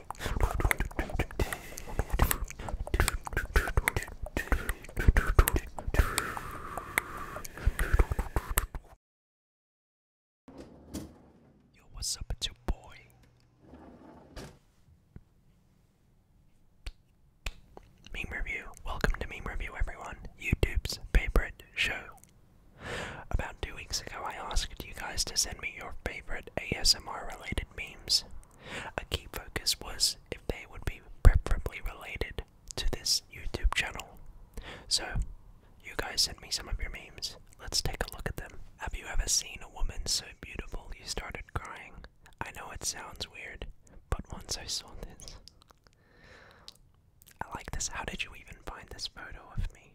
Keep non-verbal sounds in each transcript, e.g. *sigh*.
Yo, what's up, it's your boy. Meme Review. Welcome to Meme Review, everyone. YouTube's favorite show about two weeks ago, I asked you guys to send me your favorite ASMR related memes. A key focus was if they would be preferably related to this YouTube channel. So, you guys sent me some of your memes. Let's take a look at them. Have you ever seen a woman so beautiful you started crying? I know it sounds weird, but once I saw this. I like this. How did you even find this photo of me?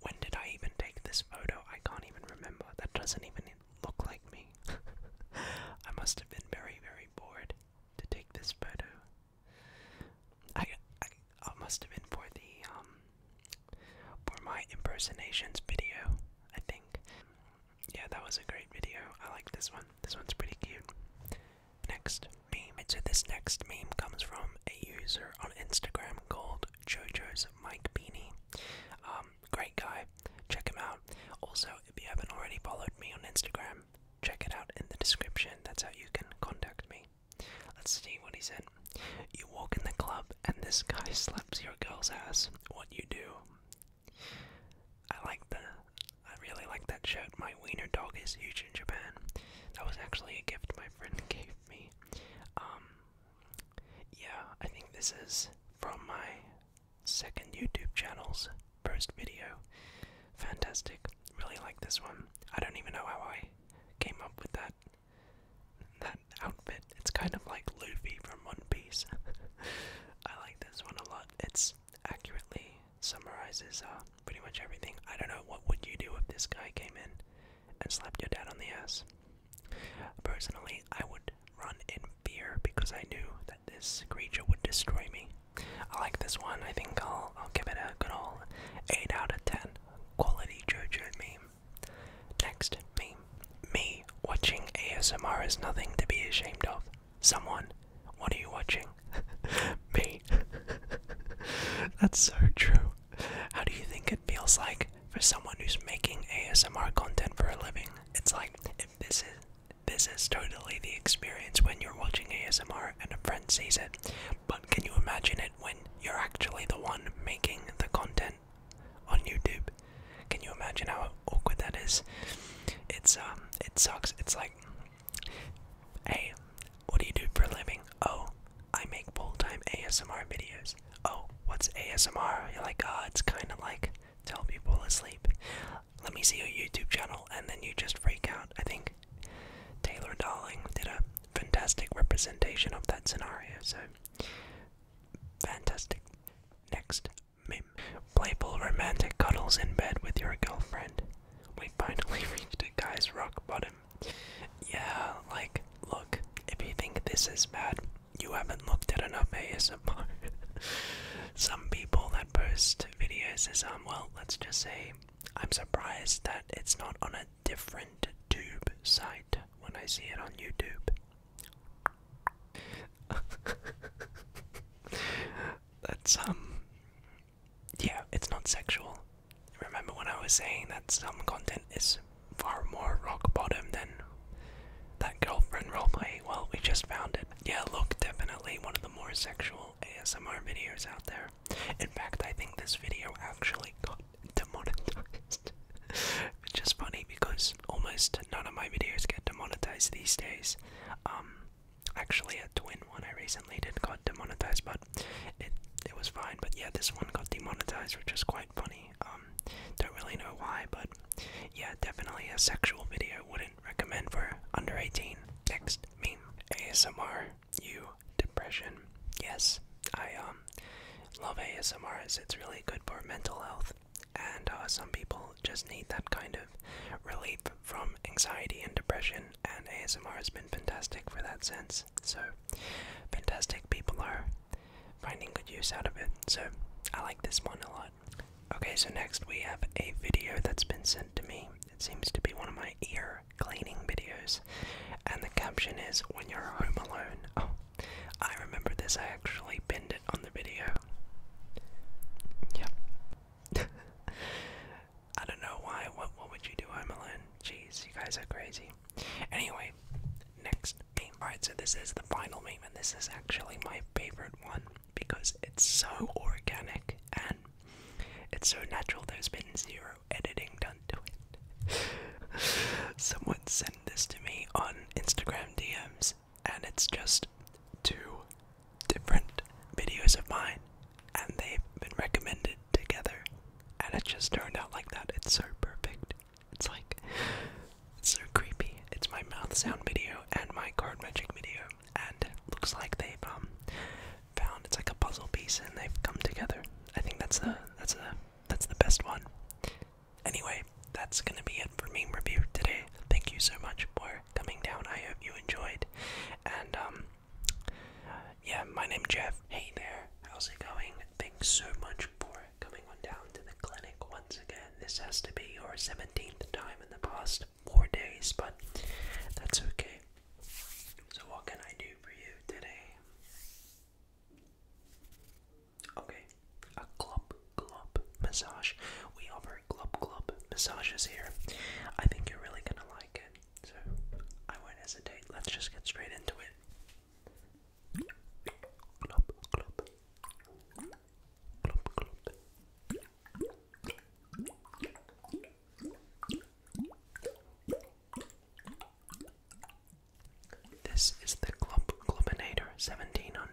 When did I even take this photo? I can't even remember. That doesn't even look like me. *laughs* I must have been very, very bored to take this photo. I, must have been for the um, for my impersonations video. I think. Yeah, that was a great video. I like this one. This one's pretty cute. Next meme. So this next meme comes from a user on Instagram called called JoJo's Mike Beanie. Um, great guy. Check him out. Also, if you haven't already followed me on Instagram, check it out in the description. That's how you can contact me. Let's see what he said. You walk in the club and this guy slaps your girl's ass. What you do? I like the. I really like that shirt. My wiener dog is huge in Japan. That was actually a gift my friend gave me. Um, yeah, I think this is from my second YouTube channel's first video. Fantastic. Really like this one. I don't even know how I came up with that that outfit. It's kind of like Luffy from One Piece. *laughs* I like this one a lot. It's accurately summarizes uh, pretty much everything. I don't know what would you do if this guy came in and slapped your dad on the ass. Personally, I would run in fear because I knew that this creature would destroy me. I like this one. I think I'll, I'll give it a good old 8 out of 10. Quality JoJo meme. Next meme. Me watching ASMR is nothing to be ashamed of. Someone, what are you watching? *laughs* me. *laughs* That's so true. How do you think it feels like for someone who's making ASMR content for a living? It's like if this is this is totally the experience when you're watching ASMR and a friend sees it. But can you imagine it when you're actually the one making the content on YouTube? Can you imagine how awkward that is? It's um it sucks. It's like hey, what do you do for a living? Oh, I make full-time ASMR videos. Oh, what's ASMR? You're like, ah, it's kind of like tell people to sleep. Let me see your YouTube channel, and then you just freak out. I think Taylor Darling did a fantastic representation of that scenario, so fantastic. Next, meme. Playful romantic cuddles in bed with your girlfriend. We finally *laughs* reached a guy's rock bottom yeah, like, look, if you think this is bad, you haven't looked at enough ASMR. *laughs* Some people that post videos is, um, well, let's just say I'm surprised that it's not on a different tube site when I see it on YouTube. *laughs* That's, um, yeah, it's not sexual. Remember when I was saying that some content is far more rock bottom than that girlfriend roleplay? Well, we just found it. Yeah, look, definitely one of the more sexual ASMR videos out there. In fact, I think this video actually got demonetized. *laughs* Which is funny because almost none of my videos get demonetized these days. Um, actually, a twin one I recently did got demonetized by it it was fine. But yeah, this one got demonetized, which is quite funny. Um, don't really know why, but yeah, definitely a sexual video. Wouldn't recommend for under 18. Next meme ASMR. You depression? Yes, I um love ASMR. it's really good for mental health, and uh, some people just need that kind of relief from anxiety and depression and ASMR has been fantastic for that sense. So, fantastic people are finding good use out of it. So, I like this one a lot. Okay, so next we have a video that's been sent to me. It seems to be one of my ear cleaning videos, and the caption is When You're Home Alone. Oh, I remember this, I actually pinned it on the video. Yep. *laughs* I don't know why. What what would you do, I'm Imelin? Jeez, you guys are crazy. Anyway, next meme. Right. so this is the final meme, and this is actually my favorite one because it's so organic and it's so natural. There's been zero editing done to it. *laughs* Someone sent this to me on Instagram DMs, and it's just two different videos of mine and they've been recommended together and it just turned out like that. It's so perfect. It's like it's so creepy. It's my mouth sound video and my card magic video and looks like they've um found it's like a puzzle piece and they've come together. I think that's the that's the that's the best one. Anyway, that's gonna be it for me. review today. Thank you so much for coming down. I hope you enjoyed and um yeah, my name's Jeff. Hey there, how's it going? Thanks so much for coming on down to the clinic once again. This has to be your 17th time in the past four days, but that's okay. So, what can I do for you today? Okay, a club club massage. We offer club club massages here. I think you're really gonna like it. So I won't hesitate. Let's just get straight into it. This is the Globinator 1700.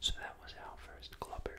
So that was our first clubber.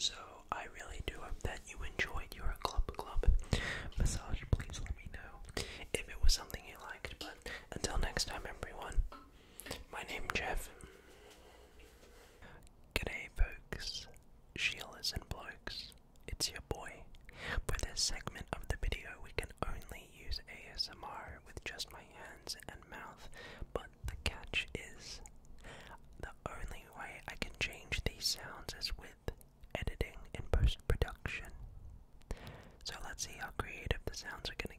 So I really do hope that you enjoyed your club club massage. Please let me know if it was something you liked. But until next time, everyone. My name's Jeff. G'day folks, Sheilas and blokes, it's your boy. For this segment of the video we can only use ASMR with just my hands and mouth, but the catch is the only way I can change these sounds is with editing and post-production. So let's see how creative the sounds are going to get.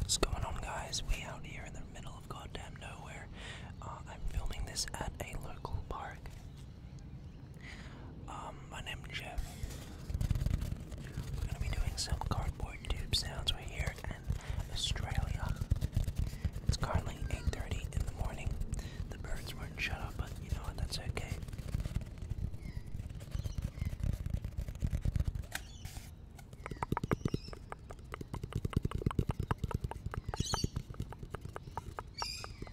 What's going on, guys? We out here in the middle of goddamn nowhere. Uh, I'm filming this at a local park. Um, my name's Jeff. We're gonna be doing some cardboard tube sounds. we here in Australia. It's currently 8:30 in the morning. The birds weren't shut up, but you know what? That's okay.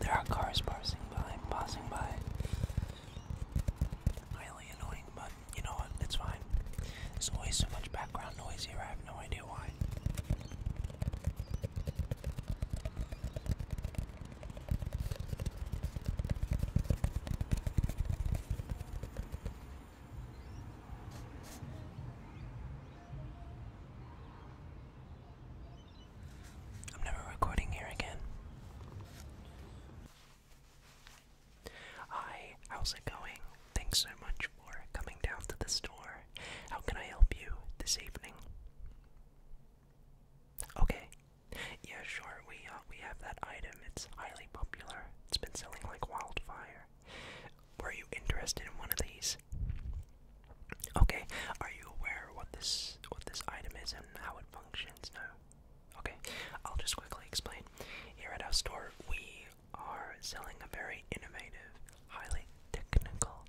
There are cars passing by, passing by. Really annoying, but you know what? It's fine. There's always so much background noise here, I have no idea why. I'm never recording here again. Hi, how's it going? Thanks so much for coming down to the store. How can I help you this evening? Okay. Yeah, sure. We uh, we have that item. It's highly popular. It's been selling like wildfire. Were you interested in one of these? Okay. Are you aware what this what this item is and how it functions? No. Okay. I'll just quickly explain. Here at our store, we are selling a very innovative, highly technical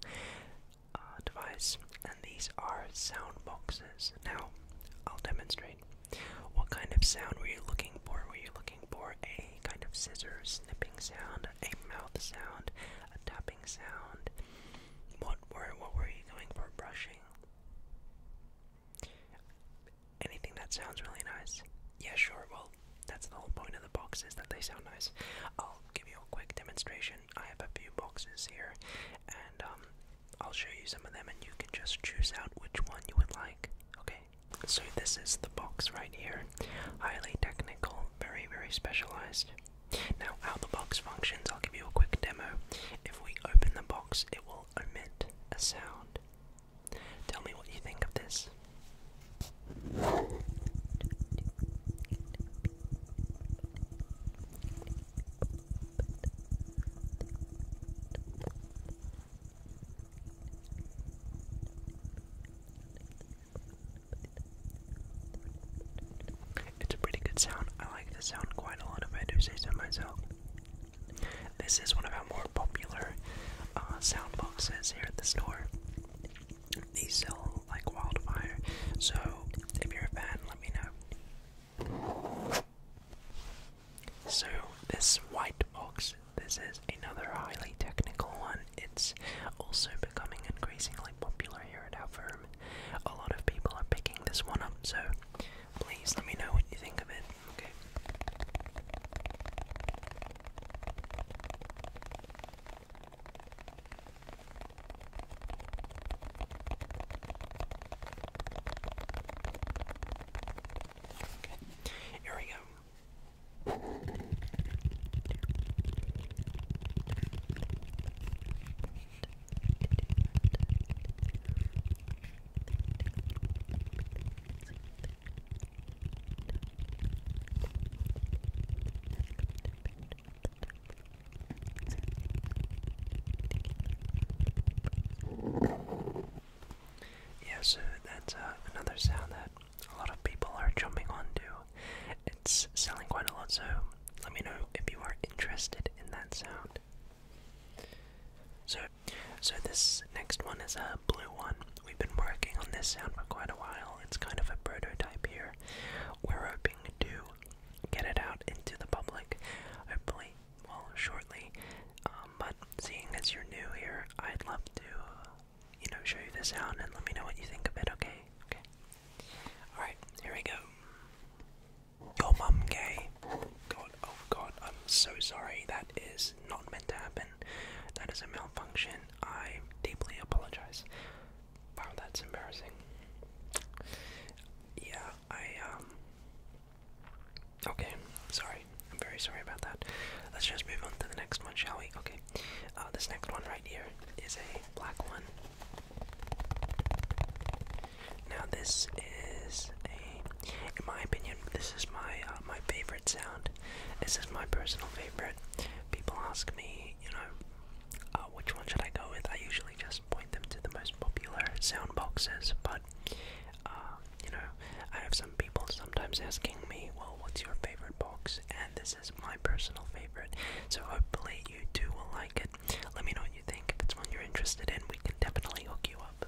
uh, device, and these are sound boxes. Now, I'll demonstrate. What kind of sound were you looking for? Were you looking for a kind of scissors snipping sound, a mouth sound, a tapping sound? What were what were you going for? Brushing? Anything that sounds really nice. Yeah, sure. Well, that's the whole point of the box is that they sound nice. I'll give you a quick demonstration. I have a few boxes here, and um, I'll show you some of them, and you can just choose out which one you would like. Okay. So this is the box right here. Highly technical, very very specialized. Now, how the box functions, I'll give you a quick demo. If we open the box, it will emit a sound. Tell me what you think of this. It's a pretty good sound. I like the sound quite a lot if I do say so myself. This is one of our more popular uh, soundboxes here at the store. They sell like wildfire, so if you're a fan, let me know. So, this white box, this is another highly technical one. It's also becoming increasingly popular here at our firm. A lot of people are picking this one up, so Please let me know what you think of it, okay? here we go. Yes, so that's uh, another sound that a lot of people are jumping onto. It's selling quite a lot, so let me know if you are interested in that sound. So, so this next one is a blue one. We've been working on this sound for quite a while. It's kind of a prototype here. We're hoping to get it out into the public, hopefully, well, shortly. Um, but seeing as you're new here, I'd love to, you know, show you the sound and let me know what you think of it. Okay? Okay. All right. Here we go. Your mum gay. God, oh god, I'm so sorry. That is not meant to happen. That is a malfunction. I deeply apologize. Wow, that's embarrassing. Yeah, I, um. Okay, sorry. I'm very sorry about that. Let's just move on to the next one, shall we? Okay. Uh, this next one right here is a black one. Now this is a, in my opinion, this is my uh, my favorite sound. This is my personal favorite. People ask me, you know, uh, which one should I go with? I usually just point them to the most popular sound boxes, but uh, you know, I have some people sometimes asking me, well, what's your favorite box? And this is my personal favorite. So hopefully you do will like it. Let me know what you think. If it's one you're interested in, we can definitely hook you up.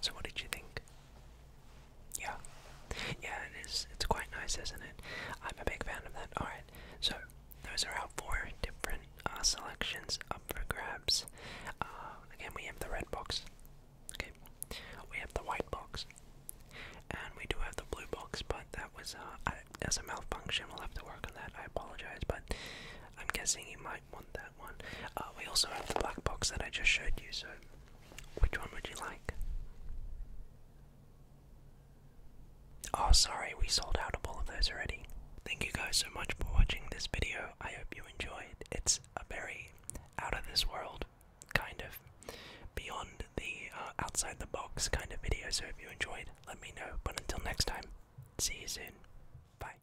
So what did you think? Yeah. Yeah, it is. It's quite nice, isn't it? I'm a big fan of that. Alright, so those are our four different uh, selections up for grabs. Uh, again, we have the red box. Okay. We have the white box. And we do have the blue box, but that was uh, as a malfunction. We'll have to work on that. I apologize, but I'm guessing you might want that one. Uh, we also have the black box that I just showed you, so which one would you like? Oh, sorry, we sold out of all of those already. Thank you guys so much for watching this video. I hope you enjoyed. It's a very out of this world, kind of beyond the uh, outside the box kind of video. So if you enjoyed, let me know. But until next time, see you soon. Bye.